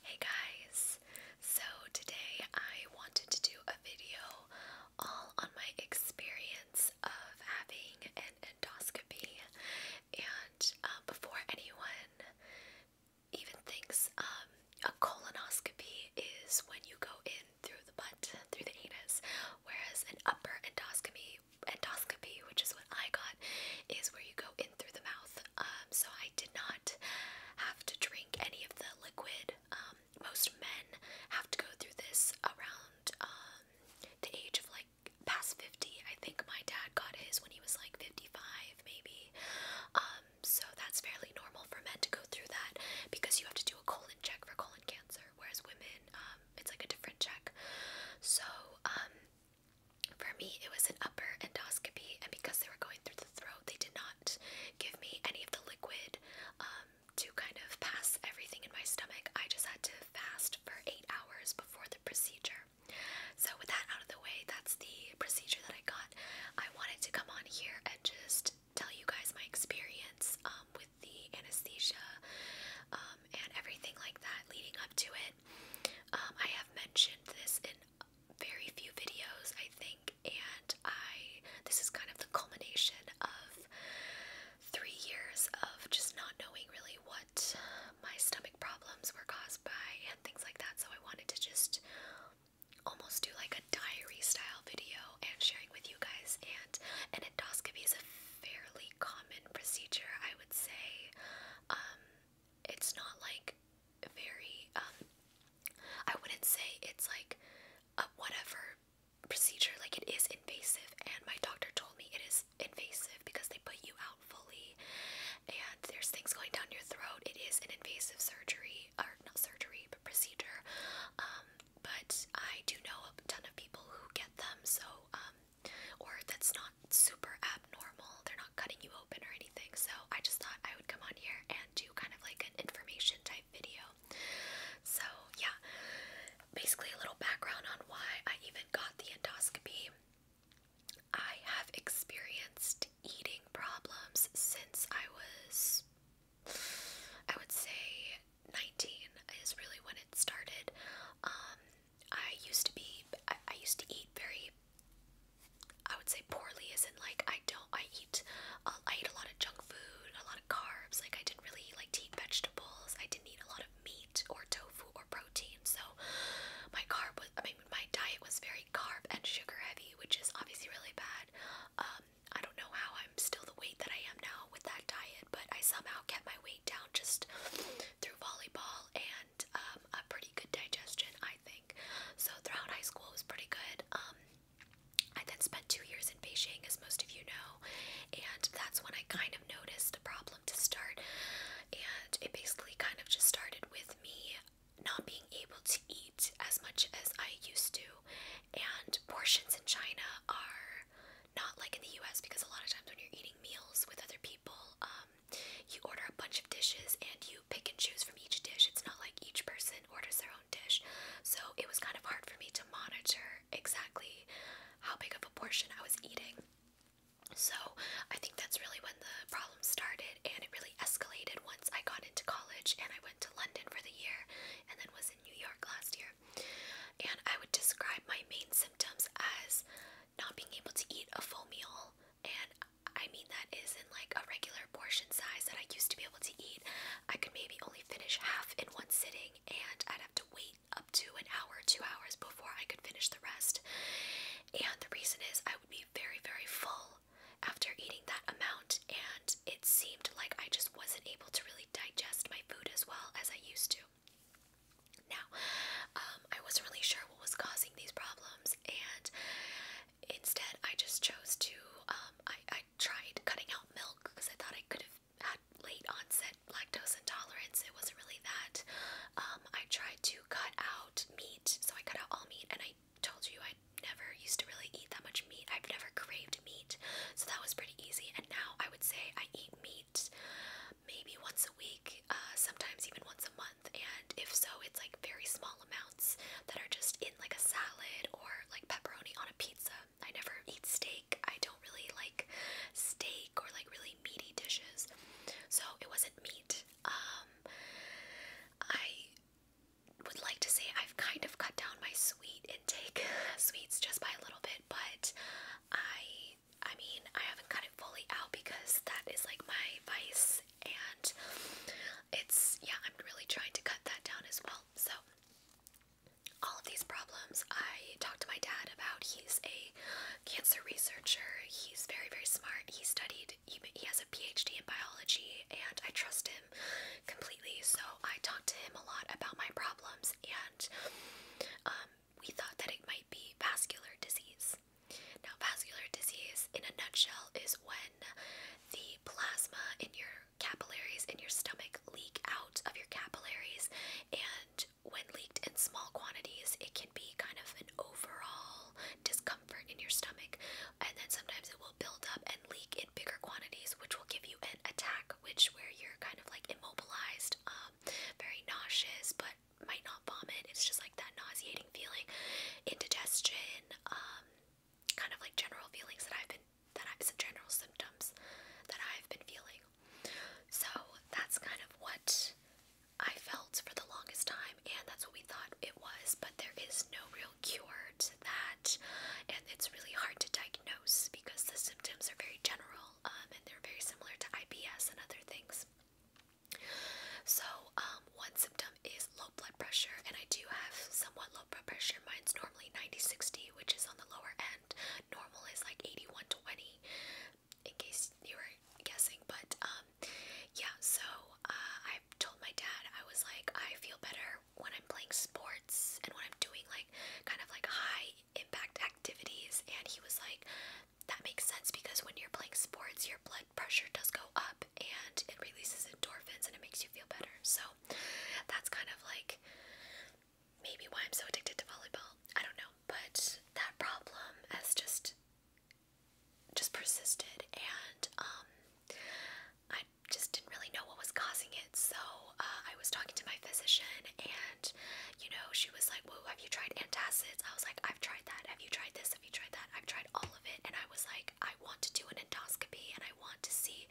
Hey guys! So today I wanted to do a video all on my experience of having an endoscopy and um, before anyone even thinks um, a colonoscopy is when you go in through the butt, through the anus, whereas an upper endoscopy endoscopy, which is what I got, is where you go in in through the mouth. Um, so I did not have to drink any of the liquid. Um, most men have to go through this around um, the age of like past 50. I think my dad got his when he was like 55, maybe. Um, so that's fairly normal for men to go through that because you have to do a colon check for colon cancer, whereas women, um, it's like a different check. So, um, for me, it was an upper endoscopy, and because they were going through the throat, they did not give me any of the liquid um, to kind of pass everything in my stomach. I just had to fast for eight hours before the procedure. So, with that out of the way, that's the procedure that I got. I wanted to come on here and just tell you guys my experience um, with the anesthesia um, and everything like that leading up to it. I have mentioned this in very few videos, I think, and I this is kind of the culmination of three years of just not knowing really what my stomach problems were caused by and things like that. So I wanted to just almost do like a diary style video and sharing with you guys and an endoscopy is a fairly common procedure I would say um, it's not like very um, I wouldn't say it's like a whatever procedure like it is invasive and my doctor told me it is invasive because they put you out fully and there's things going down your throat. It is an invasive surgery or not surgery but procedure. Um, but I do know a ton of people who get them so um, or that's not super abnormal. They're not cutting you open or anything. So I just thought I would come on here and do kind of like an information type video. So yeah, basically a little background on why I even got the endoscopy. I have experienced eating problems since I was, I would say, 19 is really when it started. Um, I used to be, I, used to eat very, I would say poorly, as in like I don't, I eat, uh, I eat a lot of junk food, a lot of carbs. Like I didn't really like eat vegetables. I didn't eat a lot of meat or tofu or protein. So my carb was, I mean, my diet was very carb and sugar heavy, which is obviously really bad. Um, I don't know how I'm still the weight that I am now with that diet, but I somehow kept my weight down just through volleyball and um, a pretty good digestion, I think. So throughout high school, it was pretty good. Um, I then spent two years in Beijing, as most of you know, and that's when I kind of noticed the problem to start. And it basically kind of just started with me not being able to eat as much as I used to. And portions in China are not like in the US because a lot of times when you're eating meals with other people, um, you order a bunch of dishes and you pick and choose from each dish. It's not like each person orders their own dish. So it was kind of hard for me to monitor exactly how big of a portion I was eating. So I think that's really when the problem started and it really escalated once I got into college and I went to London for the year and then was in New York last year. And I would describe my main symptoms as not being able to eat a full meal, and I mean that is in like a regular portion size that I used to be able to eat. I could maybe only finish half in one sitting, and I'd have to wait up to an hour, two hours before I could finish the rest. And the reason is I would be very, very full after eating that amount, and it seemed like I just wasn't able to really digest my food as well as I used to. Now, um, I wasn't really sure what was causing these problems, and instead I just chose to, um, I, I tried cutting out milk because I thought I could have had late onset lactose intolerance. It wasn't really that. Um, I tried to cut out meat, so I cut out all meat, and I told you I never used to really eat that much meat. I've never craved meat, so that was pretty easy, and now I would say I eat meat maybe once a week, uh, sometimes even once a month. And if so, it's like very small amounts that are just in like a salad or like pepperoni on a pizza. I never eat steak. I don't really like steak or like really meaty dishes. So it wasn't meat. Um, I would like to say I've kind of cut down my sweet intake, sweets just by a little bit, but I I mean, I haven't cut it fully out because that is like my vice, and it's yeah, I'm really trying to cut that down as well. So, all of these problems I talked to my dad about. He's a cancer researcher, he's very, very smart. He studied, he, has a PhD in biology, and I trust him completely. So, I talked to him a lot about my problems, and um, we thought that it might be vascular disease. Now, vascular disease, in a nutshell, is when the plasma in your capillaries in your stomach leak out of your capillaries, and when leaked in small quantities, it can be kind of an overall discomfort in your stomach, and then sometimes it will build up and leak in bigger quantities, which will give you an attack, which where you're kind of like immobilized, um, very nauseous, but might not vomit. It's just like that nauseating feeling, indigestion, um, kind of like general feelings that I've been that I some general symptoms that I've been feeling. So that's kind of what I felt for the longest time, and that's what we thought it was. But there is no real cure to that, and it's really hard to diagnose because the symptoms are very general. Um, and they're very similar to IBS and other things. So, um, one symptom is low blood pressure, and I do have somewhat low blood pressure. Mine's normally 90-60, which is on the lower end. Normal is like 81-20, in case you were guessing. But, um, yeah, so uh, I told my dad, I was like, I feel better when I'm playing sports and when I'm doing like kind of like high impact activities and he was like that makes sense because when you're playing sports your blood pressure does go up and it releases endorphins and it makes you feel better so that's kind of like maybe why I'm so addicted to volleyball I don't know but that problem has just just persisted and um, I just didn't really know what was causing it so uh, I was talking to my physician and and you know, she was like, Whoa, have you tried antacids? I was like, I've tried that. Have you tried this? Have you tried that? I've tried all of it. And I was like, I want to do an endoscopy and I want to see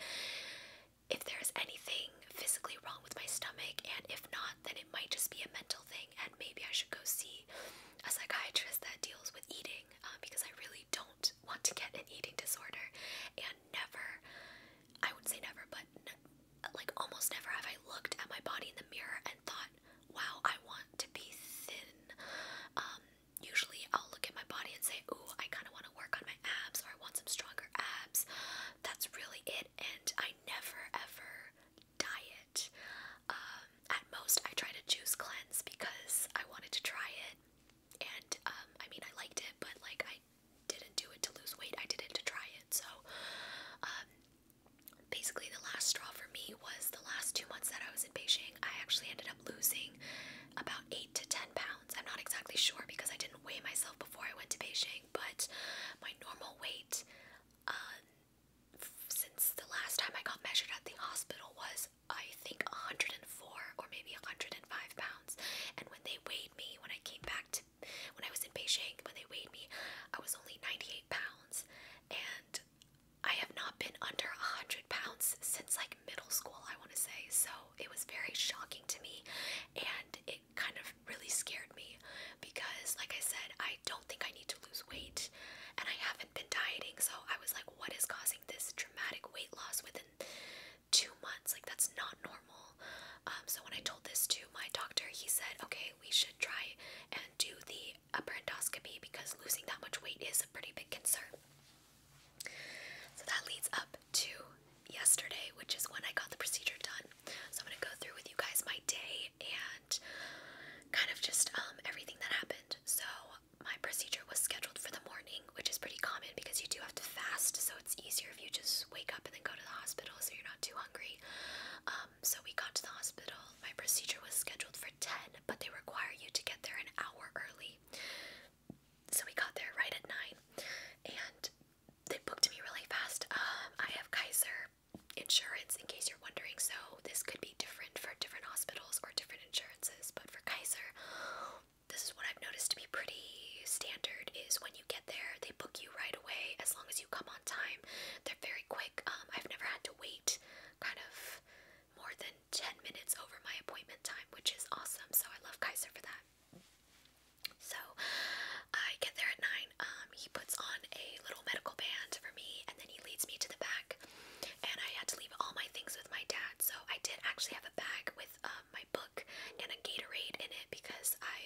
if there's anything physically wrong with my stomach. And if not, then it might just be a mental thing. And maybe I should go see a psychiatrist that deals with eating uh, because I really don't want to get an eating disorder. And never, I would say never, but like almost never have I looked at my body in the mirror and thought, wow, I want to be thin. Um, usually I'll look at my body and say, ooh, I kind of want to work on my abs or I want some stronger abs. That's really it. And I never ever diet. Um, at most, I try to juice cleanse because I wanted to try it. And um, I mean, I liked it, but like I I didn't do it to lose weight, I did it to try it. So, um, basically, the last straw for me was the last two months that I was in Beijing. I actually ended up losing about eight to ten pounds. I'm not exactly sure because I didn't weigh myself before I went to Beijing, but my normal weight um, since the last time I got measured at the hospital was, I think, 104 or maybe 105 pounds. And when they weighed me, when I came back to when I was in Beijing, when they weighed me, I was only 98 pounds, and I have not been under 100 pounds since like middle school, I want to say. So it was very shocking to me, and it kind of really scared me because, like I said, I don't think I need to lose weight, and I haven't been dieting. So I was like, what is causing this dramatic weight loss within two months? Like, that's not normal. Um, so when I told this to my doctor, he said, okay, we should try and do the upper endoscopy because losing that much weight is a pretty big concern. So that leads up to yesterday, which is when I got the procedure done. So I'm going to go through with you guys my day and kind of just um, everything that happened. So my procedure was scheduled for the morning, which is pretty common because you do have to fast, so it's easier if you just wake up and then go to the hospital so you're not too hungry. Um, so we got to the hospital. My procedure was scheduled for 10, but they require you to get there an hour early. So we got there right at 9 and they booked me really fast. Um, I have Kaiser insurance in case you're wondering, so this could be different for different hospitals or different insurances, but for Kaiser, this is what I've noticed to be pretty standard is when you get there, they book you right away as long as you come on time. They're very quick. Um, I've never had to wait kind of more than 10 minutes over my appointment time, which is awesome. So I love Kaiser for that. So I get there at 9. Um, he puts on a little medical band for me and then he leads me to the back. And I had to leave all my things with my dad. So I did actually have a bag with um, um, my book and a Gatorade in it because I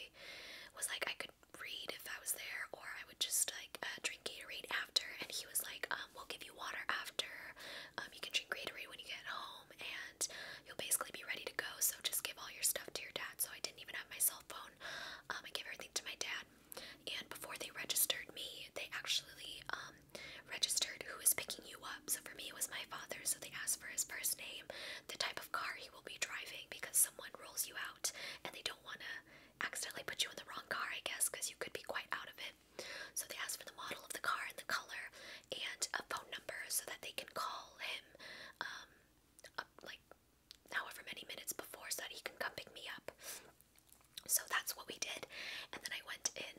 was like I could read if I was there or I would just like uh, drink Gatorade after and he was like um, we'll give you water after um, you can drink Gatorade when you get home and you'll basically be ready to go so just give all your stuff to your dad so I didn't even have my cell phone um, I gave everything to my dad and before they registered me they actually um, registered who is picking you up. So for me, it was my father, so they asked for his first name, the type of car he will be driving because someone rolls you out and they don't want to accidentally put you in the wrong car, I guess, because you could be quite out of it. So they asked for the model of the car and the color and a phone number so that they can call him um, up like however many minutes before so that he can come pick me up. So that's what we did, and then I went in.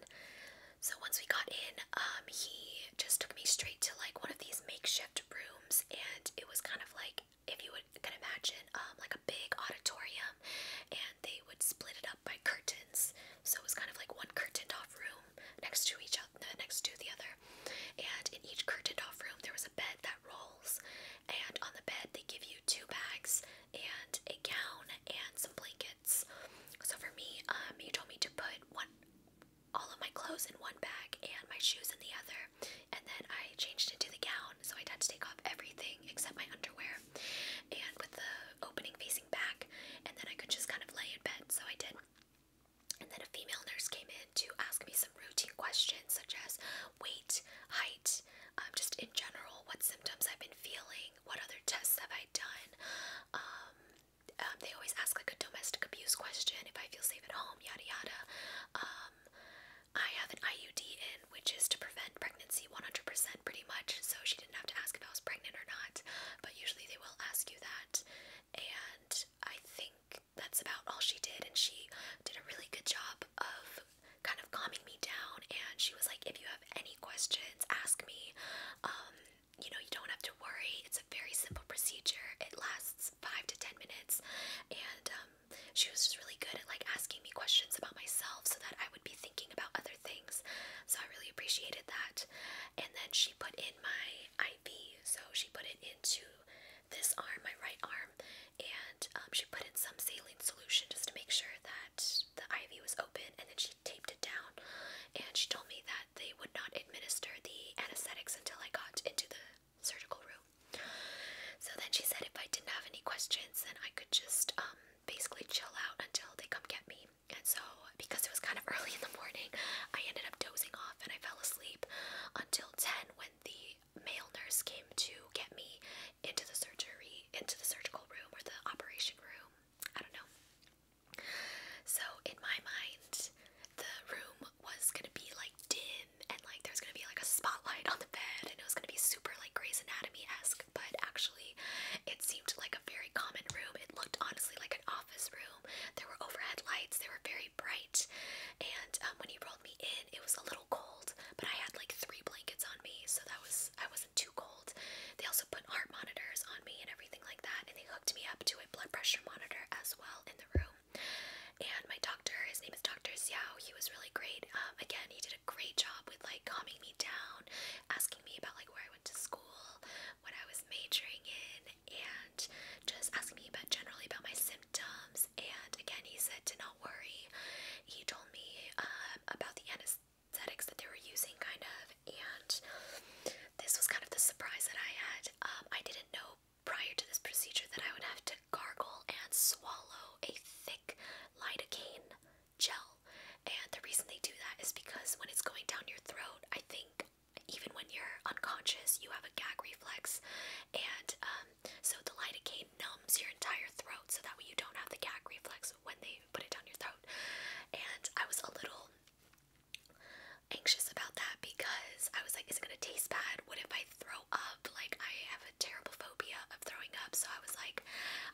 So once we got in, um, he just took me straight to like one of these makeshift rooms, and it was kind of like if you would, imagine um, like a big auditorium, and they would split it up by curtains. So it was kind of like one curtained off room next to each other, uh, next to the other, and in each curtained off room there was a bed that rolls, and on the bed they give you two bags and a gown and some blankets. So for me, um, you told me to put one all of my clothes in one bag and my shoes in the other, and then I changed into the gown, so I had to take off everything except my underwear, and with the opening facing back, and then I could just kind of lay in bed, so I did. And then a female nurse came in to ask me some routine questions such as weight, height, um, just in general, what symptoms I've been feeling, what other tests have I done, um, um, they always ask like a domestic abuse question if I feel safe at home, yada yada. Um, I have an IUD in, which is to prevent pregnancy 100% pretty much, so she didn't have to ask if I was pregnant or not, but usually they will ask you that. And I think that's about all she did, and she did a really good job of kind of calming me down. And she was like, If you have any questions, ask me. Um, you know, you don't have to worry. It's a very simple procedure. It lasts five to ten minutes, and um, she was just really good at like asking me questions about myself so that I would be thinking about other things. So I really appreciated that. And then she put in my IV, so she put it into this arm, my right arm, and um, she put in some saline solution just to make sure that the IV was open, and then she taped it down and she told me that they would not administer the anesthetics until I got into the surgical room. So then she said if I didn't have any questions, then I could just um, basically chill out until they come get me. And so, because it was kind of early in the morning, I ended up dozing off and I fell asleep until 10 when the male nurse came to get me into the surgery, into the surgical room or the operation room. I don't know. So, in my mind, the room was gonna be like dim and like there's gonna be like a spotlight on the bed and it was gonna be super like Grey's Anatomy esque, but actually, it seemed like a very common room. It looked honestly like an office room. There were overhead lights, they were very bright, and um, when he rolled me in, it was a little cold, but I had like three blankets on me, so that was I wasn't too cold old. They also put heart monitors on me and everything like that, and they hooked me up to a blood pressure monitor as well in the room. And my doctor, his name is Dr. Xiao, he was really great. Um, again, he did a great job with like calming me down, asking me about like where I went to school, what I was majoring in, and just asking me about generally about my symptoms. And again, he said to not worry. He told me um, about the anesthesia aesthetics that they were using, kind of. And this was kind of the surprise that I had. Um, I didn't know prior to this procedure that I would have to gargle and swallow a thick lidocaine gel. And the reason they do that is because when it's going down your throat, I think even when you're unconscious, you have a gag reflex. And um, so the lidocaine numbs your entire throat so that way you don't have the gag reflex when they put it down your throat. And I was a little anxious about that because I was like, is it gonna taste bad? What if I throw up? Like, I have a terrible phobia of throwing up. So I was like,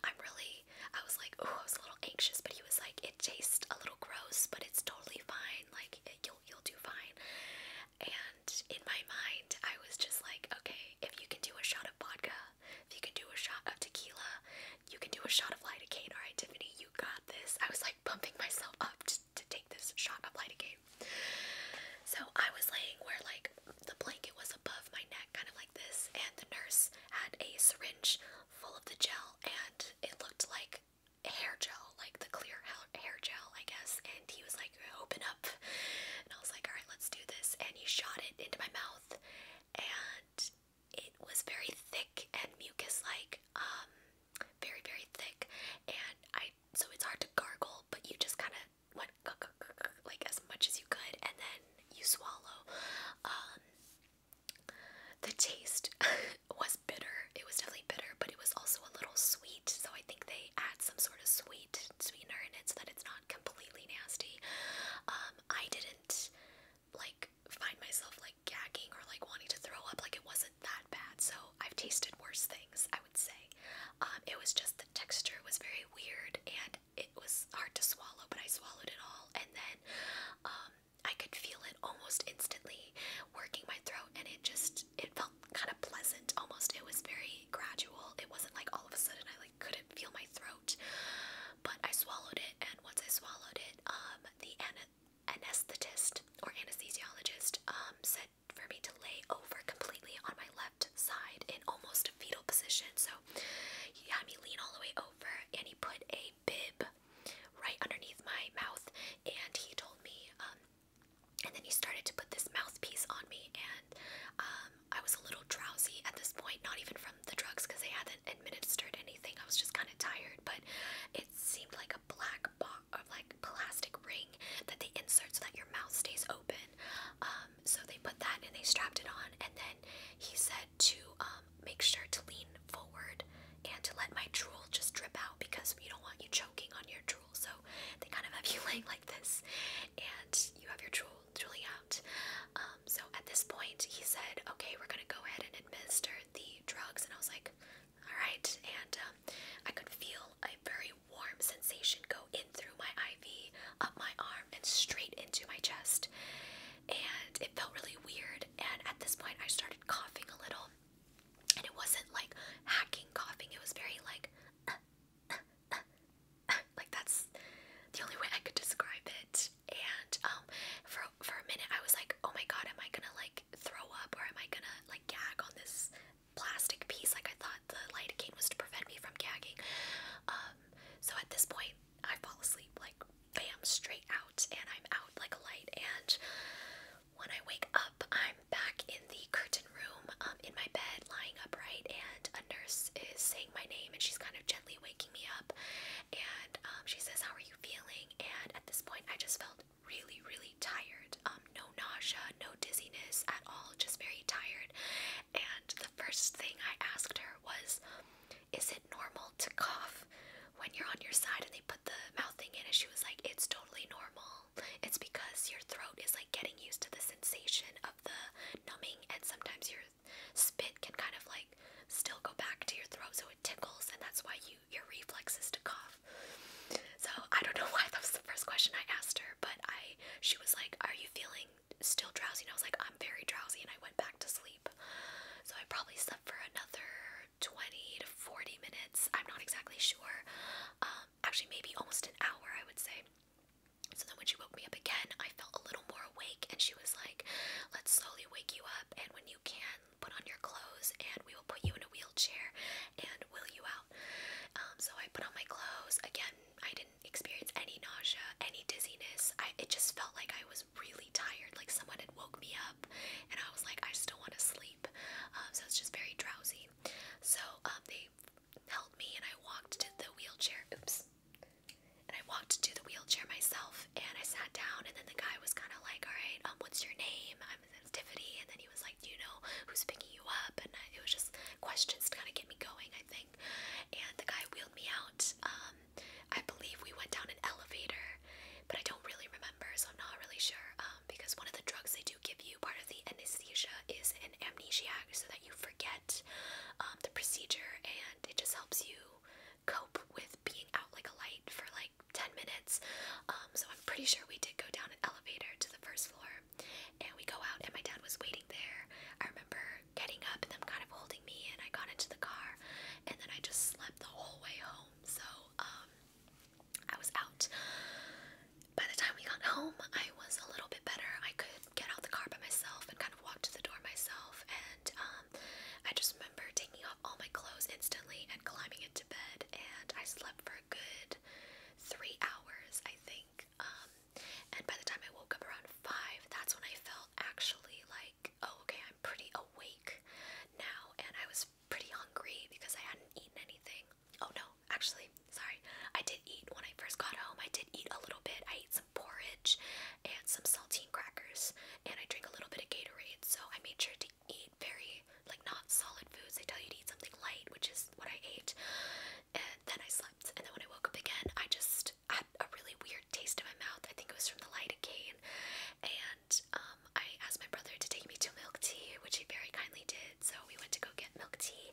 I'm really, I was like, oh, I was a little anxious, but he was like, it tastes a little gross, but it's totally fine. Like, you'll, you'll do fine. And in my mind, I was just like, okay, if you can do a shot of vodka, if you can do a shot of tequila, you can do a shot of lidocaine. All right, Tiffany, you got this. I was like pumping myself up to, to take this shot of lidocaine. So I was laying where like the blanket was above my neck, kind of like this, and the nurse had a syringe full of the gel, and it looked like hair gel, like the clear hair gel, I guess. And he was like, "Open up," and I was like, "All right, let's do this." And he shot it into my mouth, and it was very thick and mucus like, um, very, very thick. And I, so it's hard to gargle, but you just kind of went like as much as you could and then you swallow. Um, the taste was bitter. It was definitely bitter, but it was also a little sweet. So I think they add some sort of sweet sweetener in it so that it's not completely nasty. Um, I didn't like find myself like gagging or like wanting to throw up. Like it wasn't that bad. So I've tasted worse things, I would say. Um, it was just the texture was very weird and it was hard to swallow, but I swallowed it all. And then um, I could feel it almost instantly working my throat, and it just it felt kind of pleasant. Almost, it was very gradual. It wasn't like all of a sudden I like couldn't feel my throat but I swallowed it, and once I swallowed it, um, the anesthetist or anesthesiologist um, said for me to lay over completely on my left side in almost a fetal position. So he had me lean all the way over, and he put a bib right underneath my mouth, and he told me. Um, and then he started to put this mouthpiece on me, and um, I was a little drowsy at this point, not even from the drugs, because they had administered anything. I was just kind of tired, but it seemed like a black box or like plastic ring that they insert so that your mouth stays open. Um, so they put that and they strapped it on, and then he said to um, make sure to lean forward and to let my drool just drip out because we don't want you choking on your drool. So they kind of have you laying like this, and you have your drool truly out. Um, so at this point, he said, "Okay, we're gonna go ahead and administer the drugs." And I was like, "All right." And um, I could feel a very warm sensation go in through my IV, up my arm, and straight into my chest. And it felt really weird. And at this point, I started coughing a little, and it wasn't like hacking coughing. It was very like. Uh, uh, uh, like that's the only way I could describe it and um, for for a minute I was like, "Oh my god, am I going to like throw up or am I going to like gag on this plastic piece?" Like I thought the lidocaine was to prevent me from gagging. Um, so at this point, I fall asleep like bam straight out and I'm out like a light and when I wake up, I'm back in the curtain room um, in my bed lying upright and a nurse is saying my name and she's kind of gently waking me up. And um, she says, How are you feeling? And at this point, I just felt really, really tired. Um, no nausea, no dizziness at all, just very tired. And the first thing I asked her was, Is it normal to cough when you're on your side and they put the mouth thing in? And she was like, It's totally normal. It's because your throat is like getting used to the sensation of the numbing, and sometimes your spit can kind of like still go back to your throat so it tickles and that's why you your reflexes to cough. So I don't know why that was the first question I asked her, but I she was like, Are you feeling still drowsy? And I was like, I'm very drowsy and I went back to sleep. So I probably slept for another 20 to 40 minutes. I'm not exactly sure. Um, actually, maybe almost an hour, I would say. So then when she woke me up again, I felt a little more awake, and she was like, Let's slowly wake you up, and when you can, put on your clothes, and we will put you in a wheelchair and wheel you out. Um, so I put on my clothes. Again, I didn't experience any nausea, any dizziness. I, it just felt like I was really tired, like someone had woke me up, and I was like, I still want to sleep. Um, so so was just very drowsy. So um, they held me, and I walked to the wheelchair. Oops. And I walked to the wheelchair myself and I sat down and then the guy was kind of like, all right, um, what's your name? I'm Tiffany. And then he was like, do you know who's picking you up? And I, it was just questions to kind of get me going, I think. And the guy wheeled me out. Um, I believe we went down an elevator, but I don't really remember, so I'm not really sure. Um, because one of the drugs they do give you, part of the anesthesia, is an amnesiac, so you forget um, the procedure and it just helps you cope with being out like a light for like 10 minutes. Um, so I'm pretty sure we did go down an elevator to the first floor and we go out and my dad was waiting there. I remember getting up and them kind of holding me and I got into the car and then I just slept the whole way home. So um, I was out. By the time we got home, I was a little bit better. I could get out the car by myself and kind of walk to the door myself. And um, I just remember taking off all my clothes instantly and climbing into bed. And I slept for a good three hours, I think. Um, and by the time I woke up around five, that's when I felt actually like, oh, okay, I'm pretty awake now. And I was pretty hungry because I hadn't eaten anything. Oh no, actually, sorry. I did eat when I first got home. I did eat a little bit. I ate some porridge and some saltine crackers, and I drink a little bit of Gatorade. So I made sure to eat very like not solid foods. They tell you to eat something light, which is what I ate. And then I slept. And then when I woke up again, I just had a really weird taste in my mouth. I think it was from the light again. And um, I asked my brother to take me to milk tea, which he very kindly did. So we went to go get milk tea,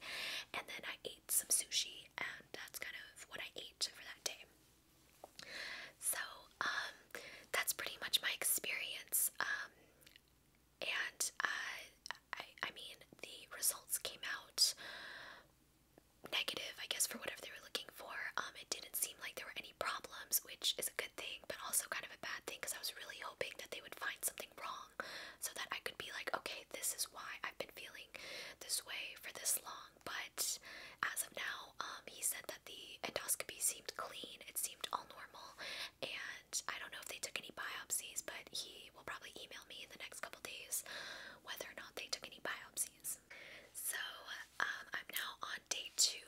and then I ate some sushi. And that's kind of what I ate for that day. So, um, that's pretty much my experience. Um, and uh, I, I mean, the results came out negative, I guess, for whatever they were looking for. Um, it didn't seem like there were any problems, which is a good thing, but also kind of a bad thing because I was really hoping that they would find something wrong so that I could be like, okay, this is why I've been feeling this way for this long, but as of now, um, he said that the endoscopy seemed clean, it seemed all normal, and I don't know if they took any biopsies, but he will probably email me in the next couple days whether or not they took any biopsies. So, um, I'm now on day two,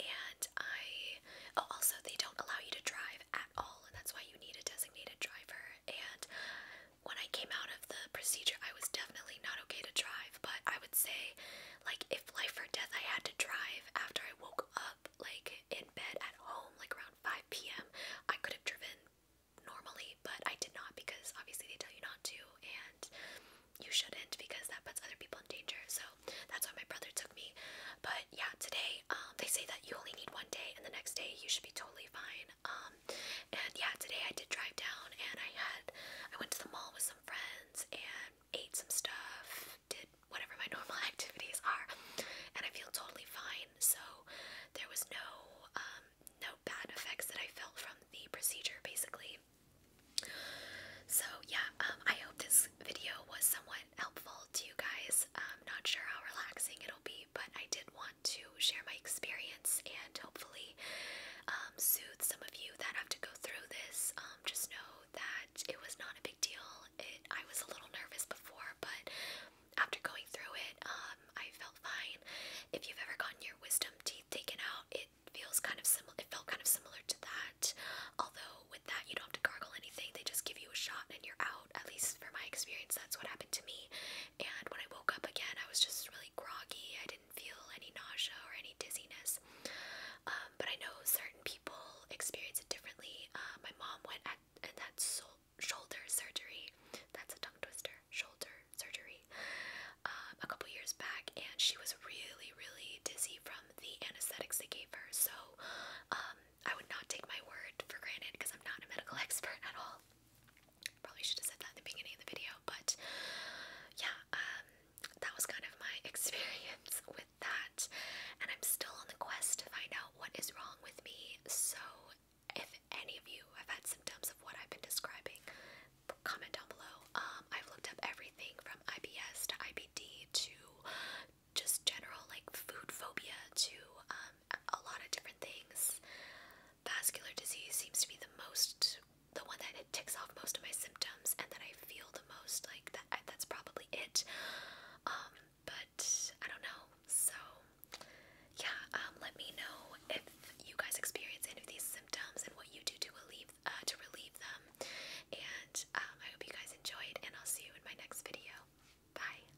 and I. Oh, also, they don't allow you to drive at all, and that's why you need a designated driver. And when I came out of the procedure, I was definitely not okay to drive, but I would say, like, if life or death, I had to drive after I woke up, like, in bed at home, like around 5 p.m., I could have driven normally, but I did not because obviously they tell you not to, and you shouldn't because that puts other people in danger. So that's why my brother took me. But yeah, today, um, they say that you only need one day, and the next day, you should be totally fine. Um, and yeah, today I did drive down and I had, I went to the mall with some friends and ate some stuff, did whatever my normal activities are, and I feel totally fine. So there was no, um, no bad effects that I felt from the procedure basically. So yeah, um, I hope this video was somewhat helpful to you guys. Um, i not sure how relaxing it'll be, but I did want to share my experience and hopefully um, soothe some of you that have to go through this. Um, just know that it was not a big deal. I was a little nervous before, but after going through it, um, I felt fine. If you've ever gotten your wisdom teeth taken out, it feels kind of similar. It felt kind of similar to that, although with that you don't have to gargle anything. They just give you a shot and you're out. At least for my experience, that's what happened to me. And when I woke up again, I was just really groggy. I didn't feel any nausea or any dizziness. Um, but I know certain people experience it differently. Uh, my mom went at, and had shoulder surgery. That's a tongue twister. Shoulder surgery. Um, a couple years back, and she was really, really dizzy from the anesthetics they gave her. So um, I would not take my word for granted because I'm not a medical expert at all. Probably should have said that at the beginning of the video, but yeah, um, that was kind of my experience with that. And I'm still on the quest to find out what is wrong with me. So if any of you have had symptoms of what I've been describing, comment down below. Um, I've looked up everything from IBS to IBD to just general like food phobia to um, a lot of different things. Vascular disease seems to be the most, the one that it ticks off most of my symptoms and that I feel the most. Like that, that's probably it. Um, but I don't know. So yeah, um, let me know if you guys experience any of these symptoms and what you do to relieve uh, to relieve them. And um, I hope you guys enjoyed, and I'll see you in my next video. Bye.